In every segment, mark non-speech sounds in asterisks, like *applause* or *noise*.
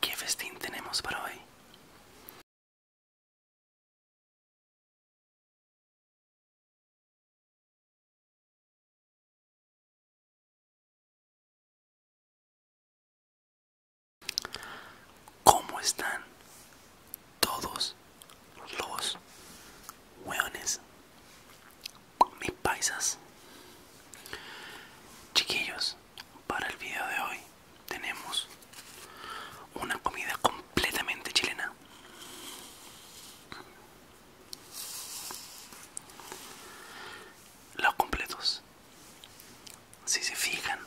¿Qué festín tenemos para hoy? ¿Cómo están todos los hueones? mis paisas chiquillos para el video de hoy tenemos una comida completamente chilena los completos si se fijan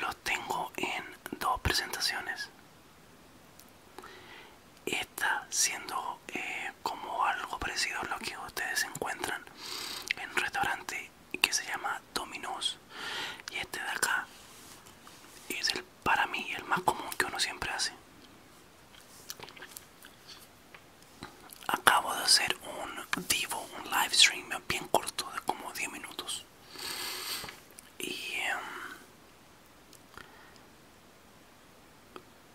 los tengo en dos presentaciones está siendo eh, como algo parecido a lo que ustedes encuentran en un restaurante que se llama Domino's y este de acá es el para mí el más común que uno siempre hace acabo de hacer un vivo, un live stream bien corto de como 10 minutos y em,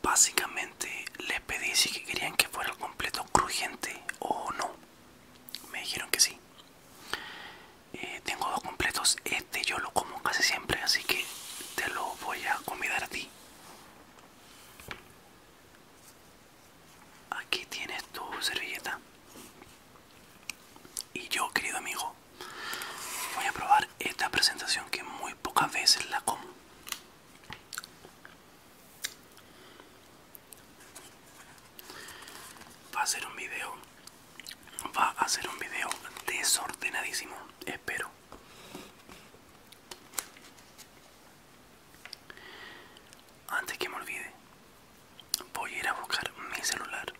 Básicamente les pedí si querían que fuera el completo crujiente o no. Me dijeron que sí. Eh, tengo dos completos. Este yo lo como casi siempre, así que te lo voy a convidar a ti. Aquí tienes tu servilleta. Y yo, querido amigo, voy a probar esta presentación que muy pocas veces la como. Va a ser un vídeo va a ser un vídeo desordenadísimo, espero. Antes que me olvide, voy a ir a buscar mi celular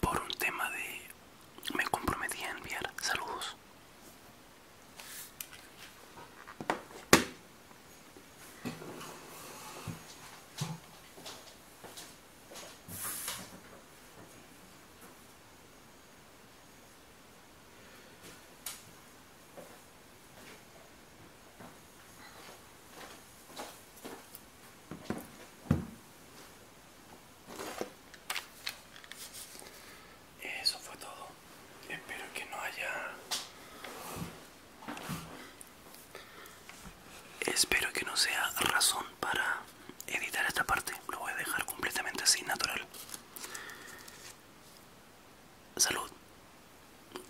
por un tema de me comprometí a enviar saludos eso fue todo. Espero que no haya... Espero que no sea razón para editar esta parte. Lo voy a dejar completamente así, natural. Salud.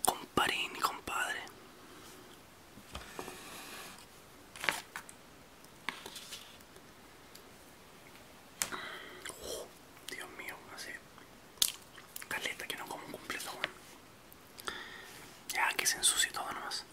Comparín, compadre. Oh, Dios mío, Así caleta que no como un completo. Ya que se ensució todo nomás.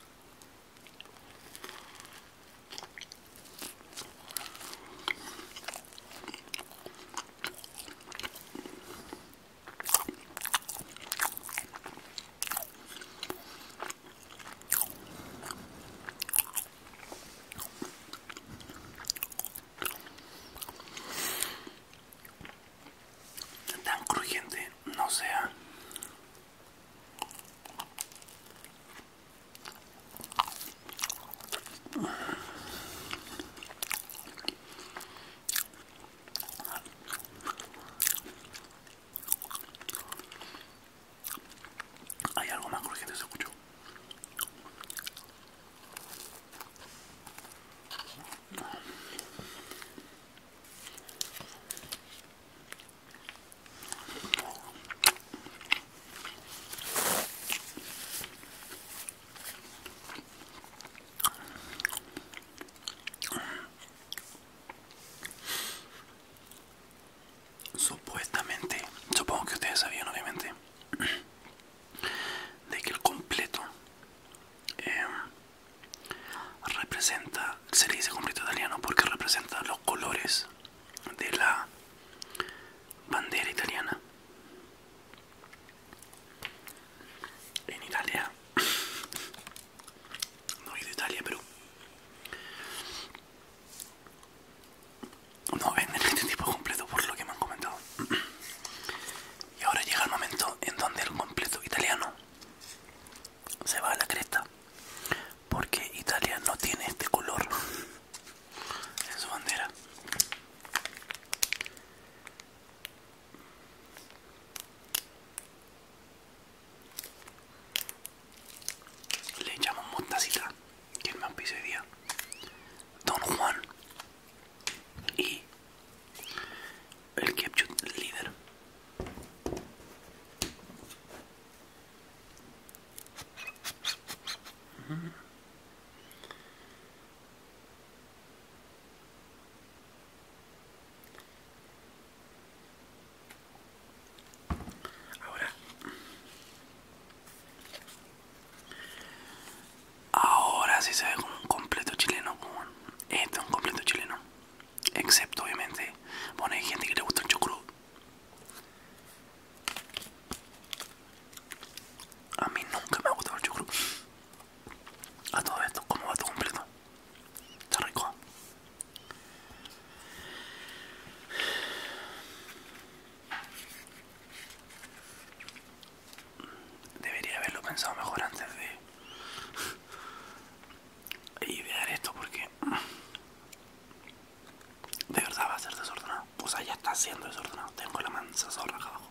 Tan crujiente no sea. Hay algo más crujiente, se escuchó. Supuestamente, supongo que ustedes sabían obviamente, *clears throat* de que el completo em, representa, se le dice completo italiano porque representa los colores de la bandera italiana. En Italia *clears throat* No he ido a Italia, pero no venden este *laughs* tipo completo por lo que me han comentado. Y ahora llega el momento en donde el completo italiano se va a la cresta. Porque Italia no tiene este color en su bandera. Le echamos mostacita, quien me pise día. Don Juan y el ketchup líder. Ahora, ahora sí se ve como un completo chileno. Como es este, un completo chileno. Excepto, obviamente, bueno, hay gente que le gusta el chucrut A mí nunca me ha gustado el chucrut a todo esto, ¿cómo va todo completo? Está rico. Debería haberlo pensado mejor antes de idear esto porque de verdad va a ser desordenado. O sea, ya está siendo desordenado. Tengo la mancha acá abajo.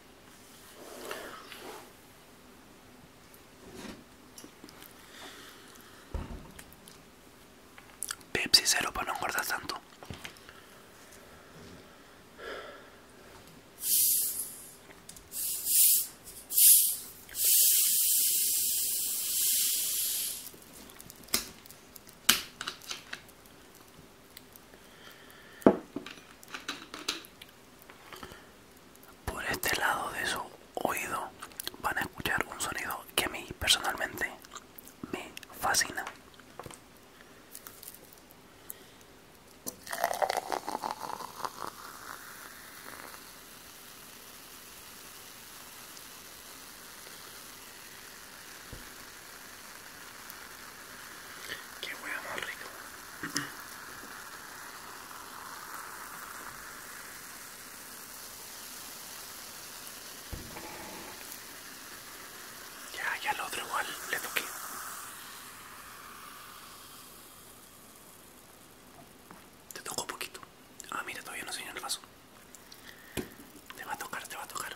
Pepsi cero para no guardar tanto. Por este lado de su oído van a escuchar un sonido que a mí personalmente me fascina. Qué huevo más rico. *clears throat* Ya, ya al otro igual le toqué. Te tocó poquito. Ah, mira, todavía no se enseño el vaso. Te va a tocar, te va a tocar.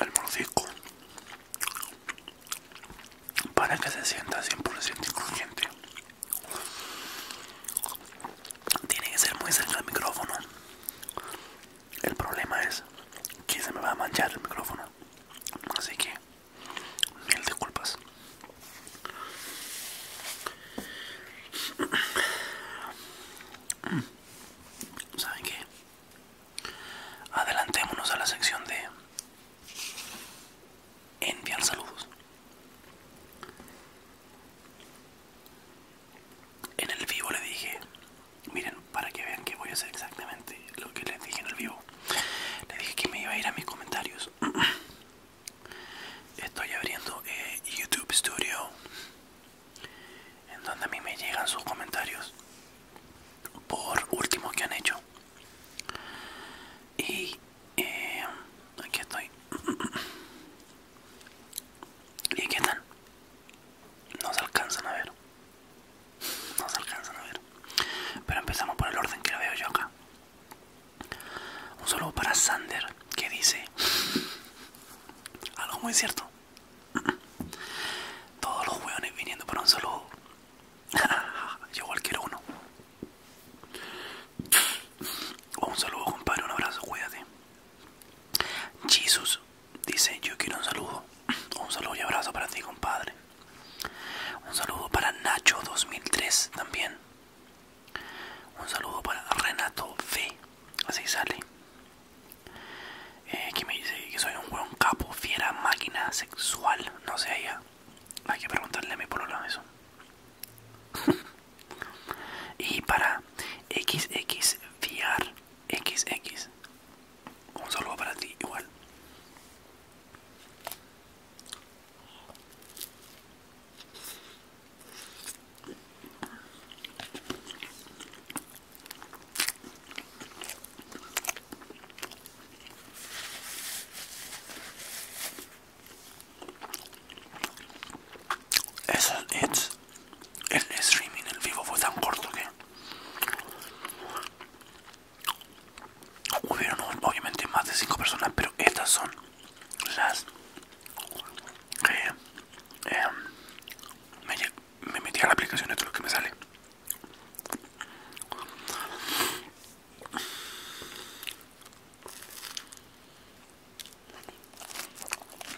El mordisco para que se sienta 100% incluyente tiene que ser muy cerca del micrófono el problema es que se me va a manchar el micrófono. Así que mil disculpas. ¿Saben qué? Adelantémonos a la sección de enviar saludos. En el vivo le dije Miren, para que vean que voy a hacer exactamente lo que les dije en el vivo. Les dije que me iba a ir a mis comentarios. *clears throat* Estoy abriendo eh, YouTube Studio, en donde a mí me llegan sus comentarios por último que han hecho. Y eh, aquí estoy. *clears throat* Y aquí tal? No se alcanzan a ver. No se alcanzan a ver. Pero empezamos por el orden que veo yo acá. Un saludo para Sander que dice algo muy cierto. Todos los jueones viniendo para un saludo. *laughs* yo igual uno. un saludo compadre, un abrazo, cuídate. Jesus Dice, yo quiero un saludo. Un saludo y abrazo para ti, compadre. Un saludo para Nacho 2003 también. Un saludo para Renato V. Así sale. Eh, que me dice que soy un buen capo, fiera, máquina, sexual. No sé, ya Hay que preguntarle a mi polo, eso. *laughs* y para XX X, X Un saludo para ti, igual. Eso es el streaming en vivo fue tan corto que hubieron obviamente más de cinco personas, pero estas son las que em, me, me metí a la aplicación, esto es lo que me sale.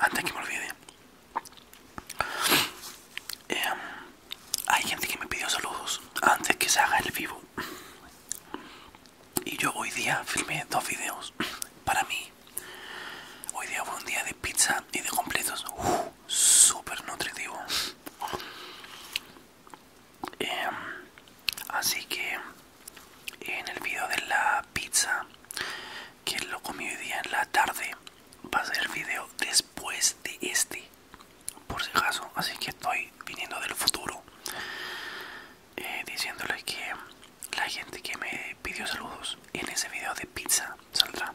Antes que me olvide, em, hay gente que me pidió saludos antes que se haga el vivo. Y yo hoy día filmé dos videos para mí. Hoy día fue un día de pizza y de completos. Uh, súper nutritivo. Em, así que en el video de la pizza que lo comí hoy día en la tarde va a ser el video después de este por si acaso así que estoy viniendo del futuro eh, diciéndoles que la gente que me pidió saludos en ese video de pizza saldrá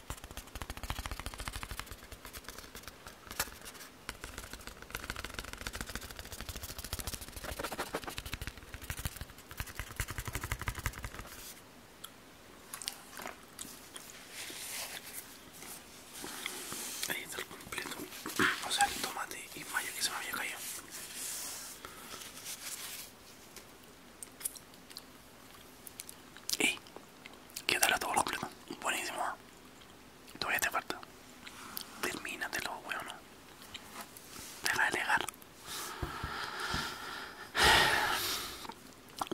Ahí está el completo, o sea el tomate y mayo que se me había caído. Y ¿Qué tal a los problemas. Buenísimo. Todavía te falta. Termínatelo, huevos. Deja de legar.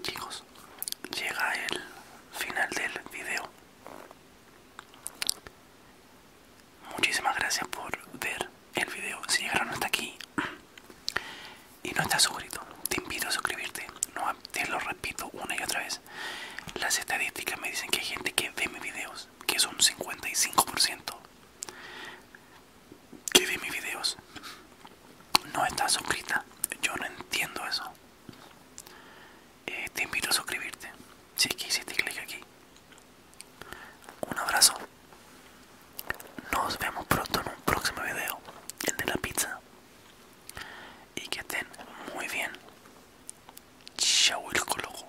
Chicos, llega el final del video. Muchísimas gracias por ver el video si llegaron hasta aquí y no está suscrito te invito a suscribirte no, te lo repito una y otra vez las estadísticas me dicen que hay gente que ve mis videos que son 55% que ve mis videos no está suscrita yo no entiendo eso eh, te invito a suscribirte si es que hiciste clic aquí un abrazo nos vemos pronto en un próximo video, el de la pizza. Y que estén muy bien. Chau el coloco.